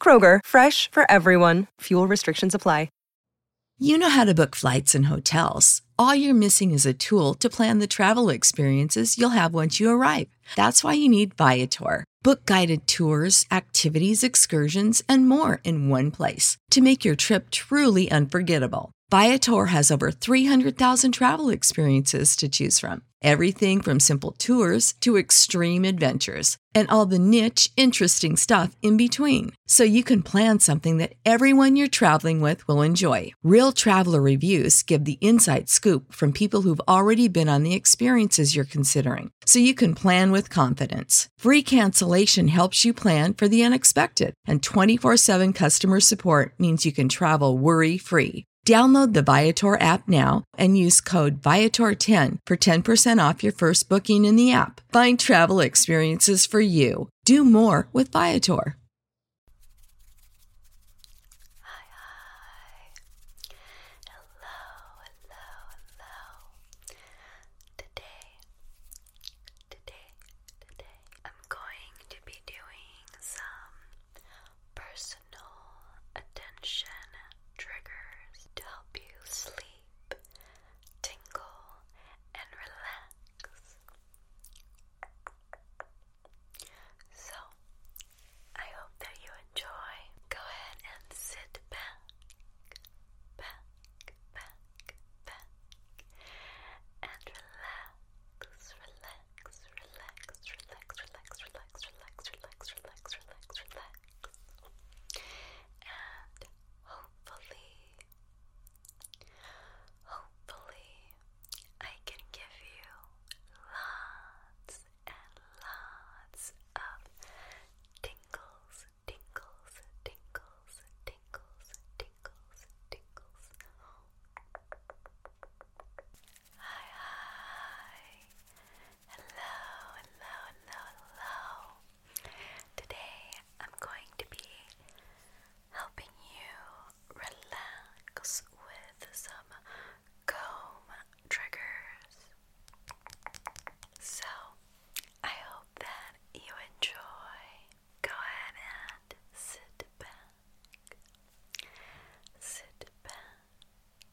Kroger, fresh for everyone. Fuel restrictions apply. You know how to book flights and hotels. All you're missing is a tool to plan the travel experiences you'll have once you arrive. That's why you need Viator. Book guided tours, activities, excursions, and more in one place to make your trip truly unforgettable. Viator has over 300,000 travel experiences to choose from, everything from simple tours to extreme adventures and all the niche, interesting stuff in between. So you can plan something that everyone you're traveling with will enjoy. Real traveler reviews give the inside scoop from people who've already been on the experiences you're considering, so you can plan with confidence. Free cancellation helps you plan for the unexpected, and 24 7 customer support means you can travel worry free. Download the Viator app now and use code Viator10 for 10% off your first booking in the app. Find travel experiences for you. Do more with Viator personal attention triggers to help you sleep, tingle, and relax. So, I hope that you enjoy. Go ahead and sit back, back, back, back, and relax, relax, relax, relax, relax, relax, relax, relax, relax, relax, relax. And hopefully, hopefully, I can give you lots and lots of tingles, tingles, tingles, tingles, tingles, tingles. Hi, Hello, hello, hello, Today I'm going to be helping you relax with some comb triggers. So I hope that you enjoy. Go ahead and sit back. Sit back.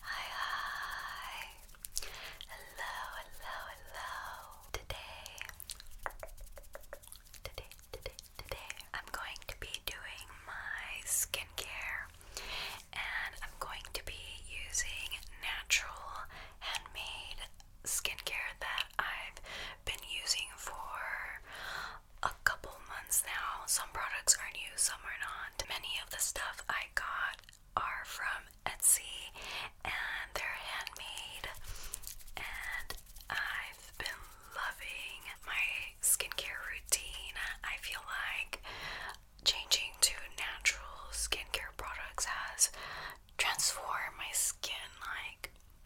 Hi, Hello, hello, hello. Today, today, today, today, I'm going to be doing my skincare and I'm going to be using natural handmade skincare that I've been using for a couple months now. Some products are new, some are not. Many of the stuff I got are from Etsy and they're handmade. And I've been loving my skincare routine. I feel like changing to natural skincare products has transformed my skin like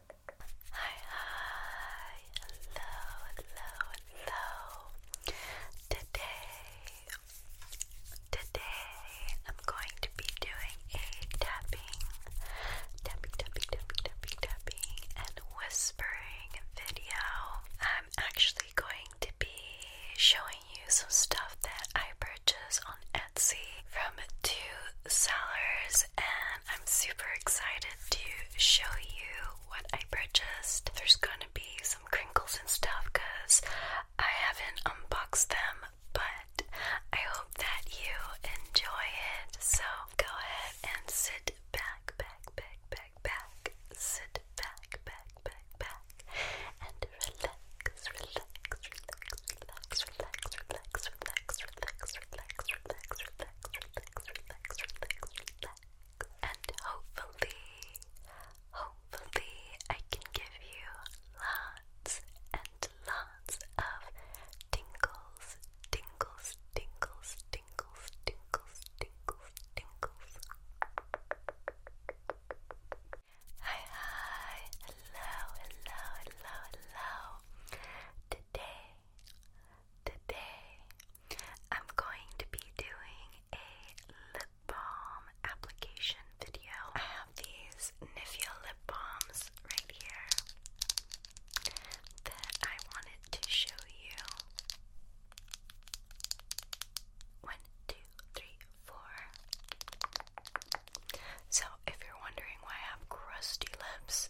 Hi, hi, hello, hello, hello. Today, today I'm going to be doing a tapping, tapping, tapping, tapping, tapping, and whispering video. I'm actually going to be showing you some stuff that I purchased on Etsy from two sellers, and I'm super excited to show you what I purchased. There's gonna be some crinkles and stuff because I haven't unboxed them, but I hope that you enjoy it. So go ahead and sit back, back, back, back, back, sit back, back, back, back, and relax, relax, relax, relax, relax, relax, relax, relax, relax, relax, relax, relax, relax, relax, relax. And hopefully, hopefully, I can give you lots and lots of tingles, tingles, tingles, tingles, tingles, tingles, tingles. Hi, hi, hello, hello, hello, hello. Today Today, I'm going to be doing a lip balm application video. I have these Nivea lip balms right here that I wanted to show you. One, two, three, four. So, if you're wondering why I have crusty lips,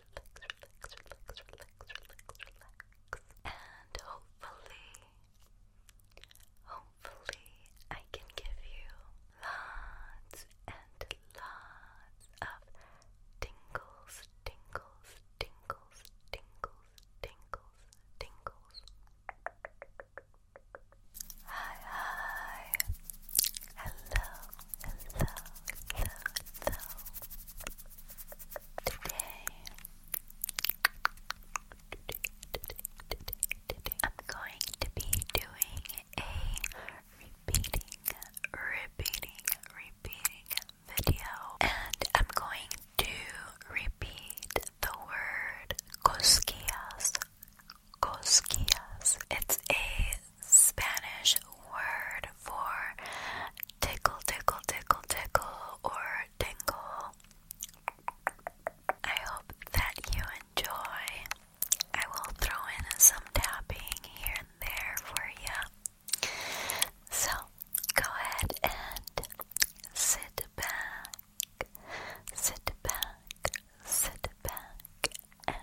relax, relax, relax, relax, relax, relax. And hopefully, hopefully, I can give you lots and lots of tingles, tingles, tingles, tingles, tingles, tingles. Hi, hi. Hello, so, so, so today, I'm going to be doing a repeating, repeating, repeating video and I'm going to repeat the word Koskias. Koskias. It's a Spanish word for tickle, tickle, tickle, tickle, or tingle. I hope that you enjoy. I will throw in some tapping here and there for you. So go ahead and sit back, sit back, sit back, and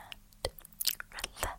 relax.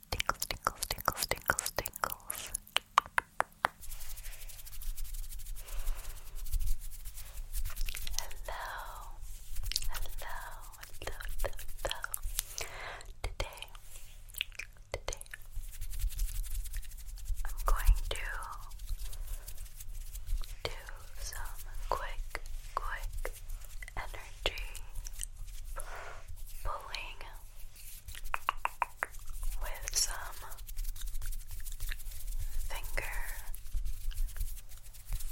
Tinkles, tinkles, tinkles, tinkles, tinkles. Hello, hello, hello, hello, hello. Today, today, I'm going to do some quick, quick energy pulling with some finger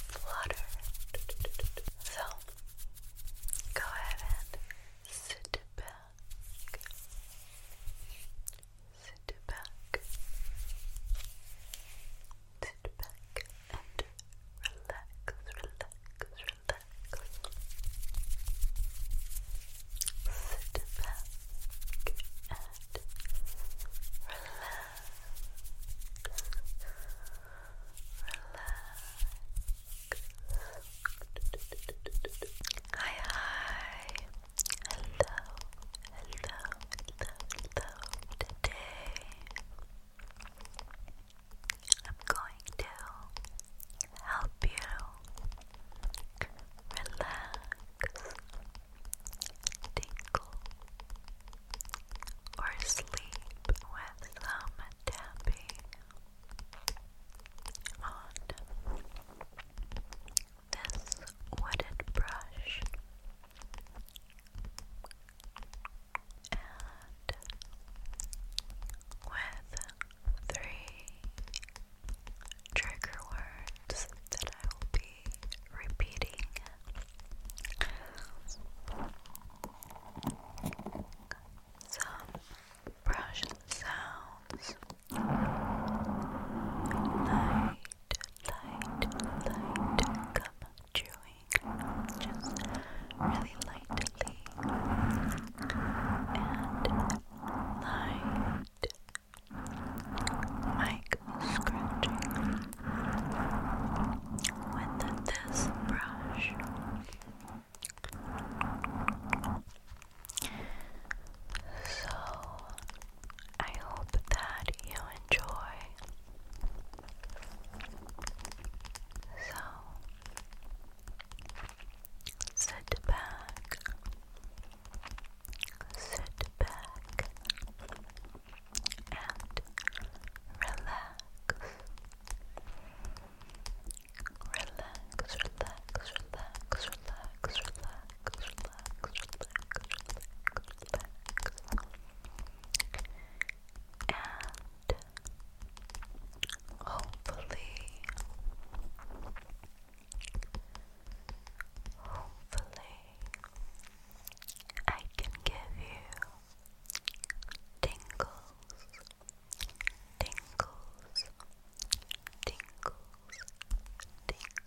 flutter. So go ahead and sit back. Sit back. Sit back and relax, relax, relax. Sit back and relax. Relax. Hi, hi. Hello, hello, hello, hello. Today I'm going to help you relax, tinkle, or sleep with some tapping on this wooded brush. And with three trigger words that I will be repeating. Some brush sounds. Light, light, light gum chewing. Just really lightly and light. Mike scratching with this brush. So I hope that you enjoy. So Sit back. Sit back and relax. Relax, relax, relax, relax, relax, relax, relax, relax, relax. And Hopefully, hopefully, I can give you tingles, tingles, tingles, tingles, tingles.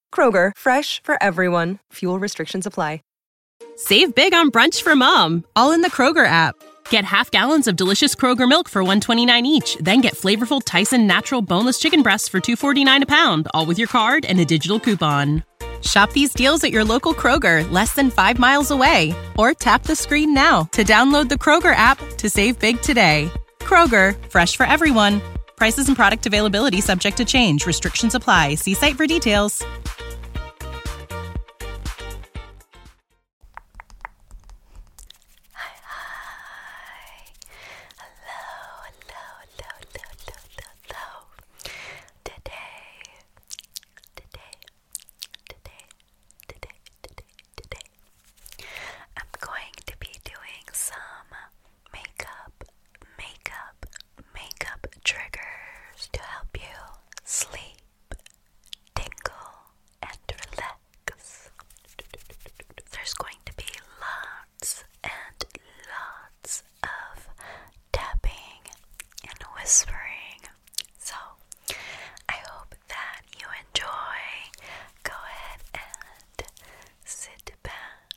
Kroger, fresh for everyone. Fuel restrictions apply. Save big on brunch for mom, all in the Kroger app. Get half gallons of delicious Kroger milk for 129 each, then get flavorful Tyson natural boneless chicken breasts for 249 a pound, all with your card and a digital coupon. Shop these deals at your local Kroger, less than 5 miles away, or tap the screen now to download the Kroger app to save big today. Kroger, fresh for everyone. Prices and product availability subject to change. Restrictions apply. See site for details. Hi, hi. Hello, hello, hello, hello, hello, Today, today, today, today, today, today, I'm going to be doing some makeup, makeup, makeup triggers to help you sleep, tingle, and relax. There's going to be lots and lots of tapping and whispering. So, I hope that you enjoy. Go ahead and sit back,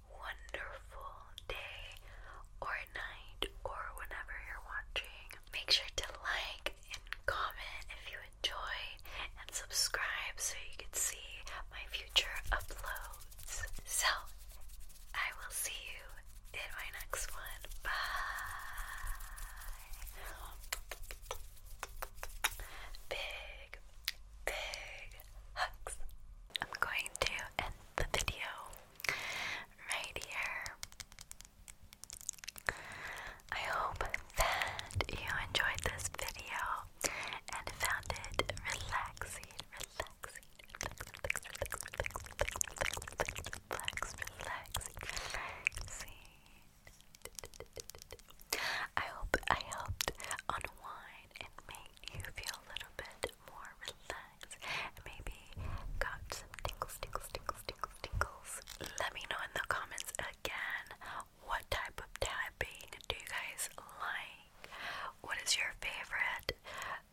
wonderful day or night or whenever you're watching. Make sure to like and comment if you enjoy and subscribe so you can see my future uploads. So, I will see you in my next one. Bye. Big, big I'm going to end the video right here. I hope that you enjoyed this video and found it relaxing, relaxing, relax, relaxing, relaxing. I hope I helped unwind and make you feel a little bit more relaxed maybe got some tingles, tingles, tingles, tingles, tingles. Let me know in the comments again what type of tapping do you guys like? What is your favorite?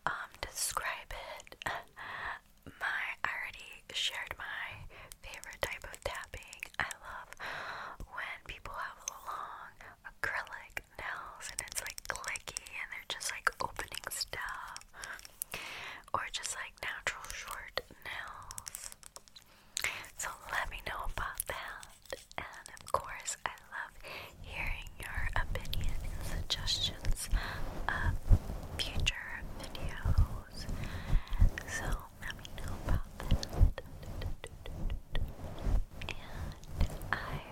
Um, describe it. My I already shared my favorite type of tapping. I love when people have long acrylic nails and it's like clicky and they're just like opening stuff, or just like natural short nails. So let me know about that. And of course, I love hearing your opinion and suggestions of future videos. So let me know about that. And I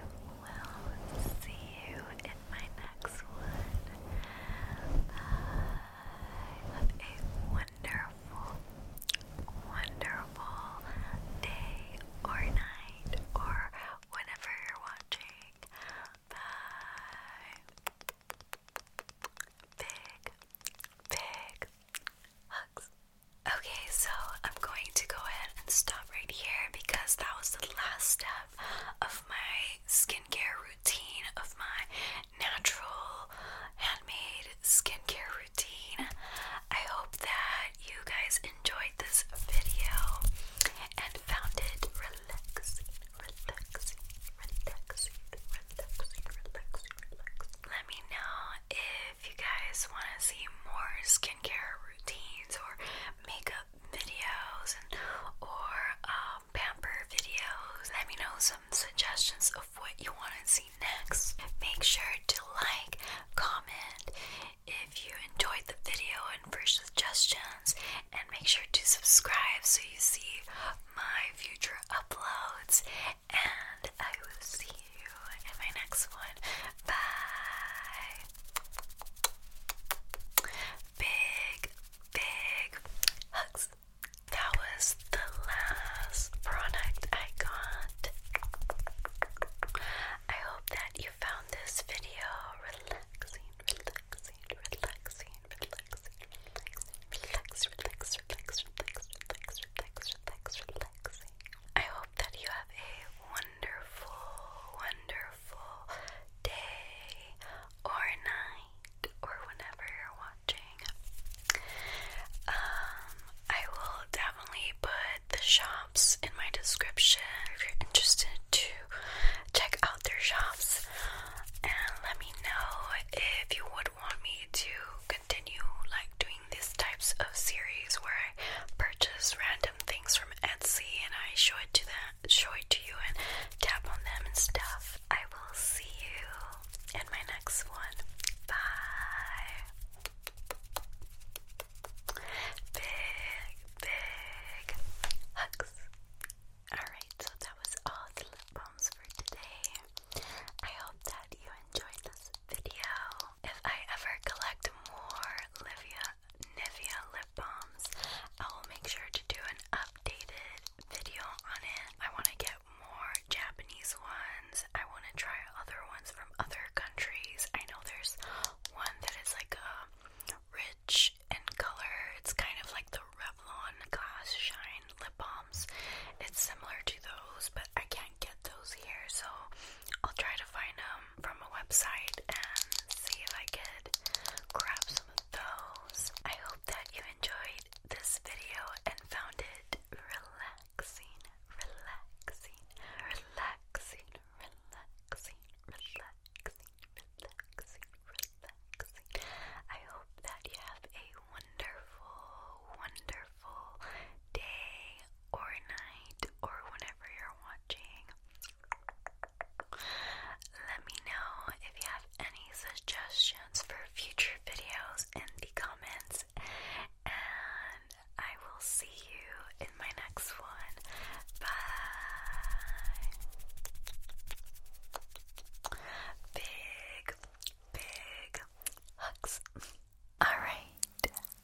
will see you in my next one. have a wonderful, wonderful day or night or whenever you're watching. Bye. Big, big hugs. Okay, so I'm going to go ahead and stop right here because that was the last step of my skincare routine, of my natural handmade skincare routine. I hope that you guys enjoyed this video and found it relaxing, relaxing, relaxing, relaxing, relaxing, relaxing. Let me know if you guys want to see more skincare routines or makeup videos or um, pamper videos, let me know some suggestions of what you want to see next. Make sure to like, comment if you enjoyed the video and for suggestions, and make sure to subscribe so you see my future uploads. And I will see in my next one. Bye. Big, big hugs. That was the last product I got. I hope that you found this video relaxing, relaxing, relaxing, relaxing, relaxing, relax, relax, relax, relax, relax, relax, relax, relax. I hope that you have a wonderful, wonderful day or night or whenever you're watching. Um, I will definitely put the shops in my description if you're interested to check out their shops and let me know if you would want me to continue like doing these types of series where I purchase random things from Etsy and I show it to them, show it to you, and tap on them and stuff. I will see you in my next one. Bye. Big, big hugs. Alright, so that was all the lip balms for today. I hope that you enjoyed this video if I ever collect more Livia Nivea lip balms, I will make sure to do an updated video on it. I want to get more Japanese ones. I want to try other ones from other countries. I know there's one that is like a uh, rich in color. It's kind of like the Revlon Glass Shine lip balms. It's similar to those, but I can't get those here, so I'll try to find them um, from a website and see if I could grab some of those. I hope that you enjoyed this video and found it relaxing, relaxing, relaxing, relaxing, relaxing, relaxing, relaxing. I hope that you have a wonderful, wonderful day or night or whenever you're watching. Let me know if you have any suggestions for future videos in the comments, and I will see you in my next one. Bye. Big, big hugs. All right.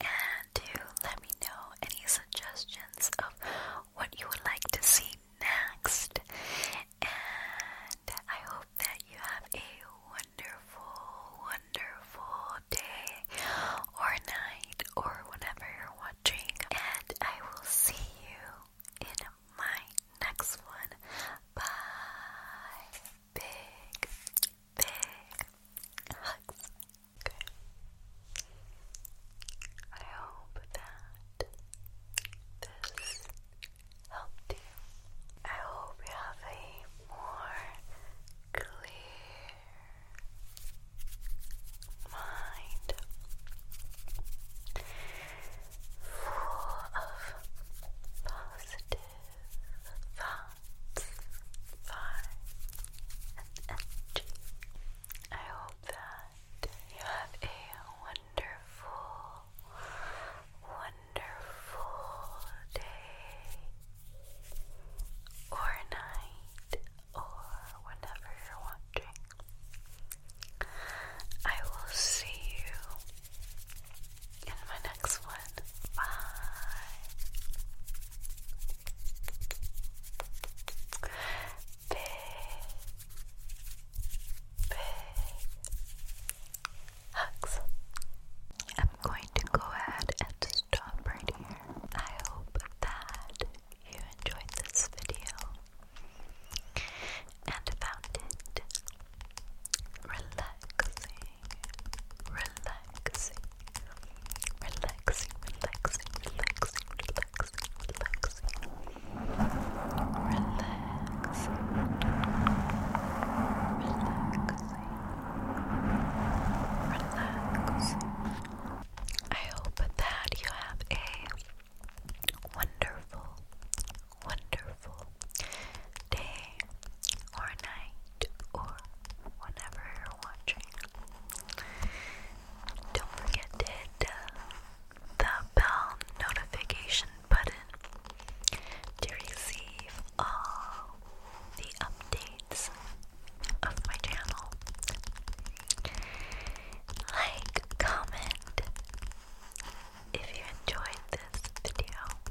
and to let me know any suggestions of what you would like to see next. And I hope that you have a wonderful, wonderful day or night or whenever you're watching. And I will see you in my next one. Bye. Big, big hugs. Okay. I hope that this helped you. I hope you have a more clear mind full of positive thoughts fun, and energy. I hope that you have a wonderful, wonderful day or night or whenever you're watching. I will see you in my next one. Bye. Big, big hugs. I'm going to go ahead and stop right here. I hope that you enjoyed this video and found it relaxing relaxing, relaxing, relaxing, relaxing, relaxing, relaxing, relaxing, relaxing, relaxing. I hope that you have a wonderful, wonderful day or night or whenever you're watching. Don't forget to uh, the bell notification button to receive all the updates of my channel. Like, comment if you enjoyed this video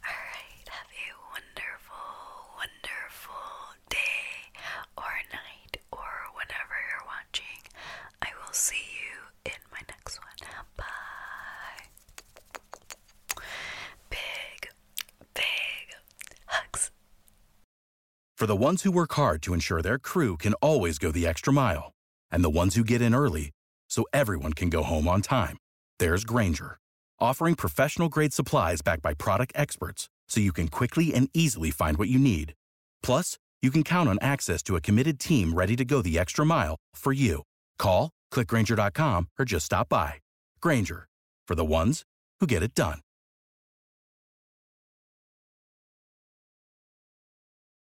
Alright, have a wonderful, wonderful day or night or whenever you're watching. I will see you in my next one. Bye. Big, big hugs. For the ones who work hard to ensure their crew can always go the extra mile and the ones who get in early so everyone can go home on time. There's Granger, offering professional grade supplies backed by product experts so you can quickly and easily find what you need. Plus, you can count on access to a committed team ready to go the extra mile for you. Call, click clickgranger.com, or just stop by. Granger, for the ones who get it done.